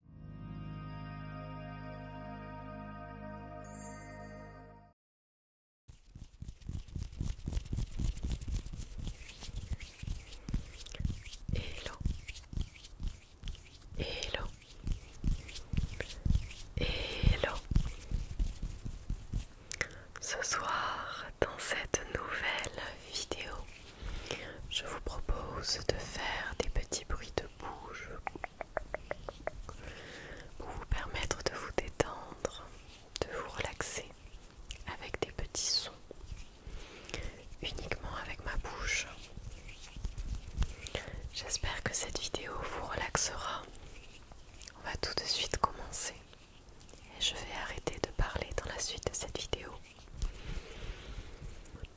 Hello Hello Hello Ce soir dans cette nouvelle vidéo je vous propose de faire des petits bruits de bouche pour vous permettre de vous détendre, de vous relaxer avec des petits sons uniquement avec ma bouche. J'espère que cette vidéo vous relaxera. On va tout de suite commencer et je vais arrêter de parler dans la suite de cette vidéo.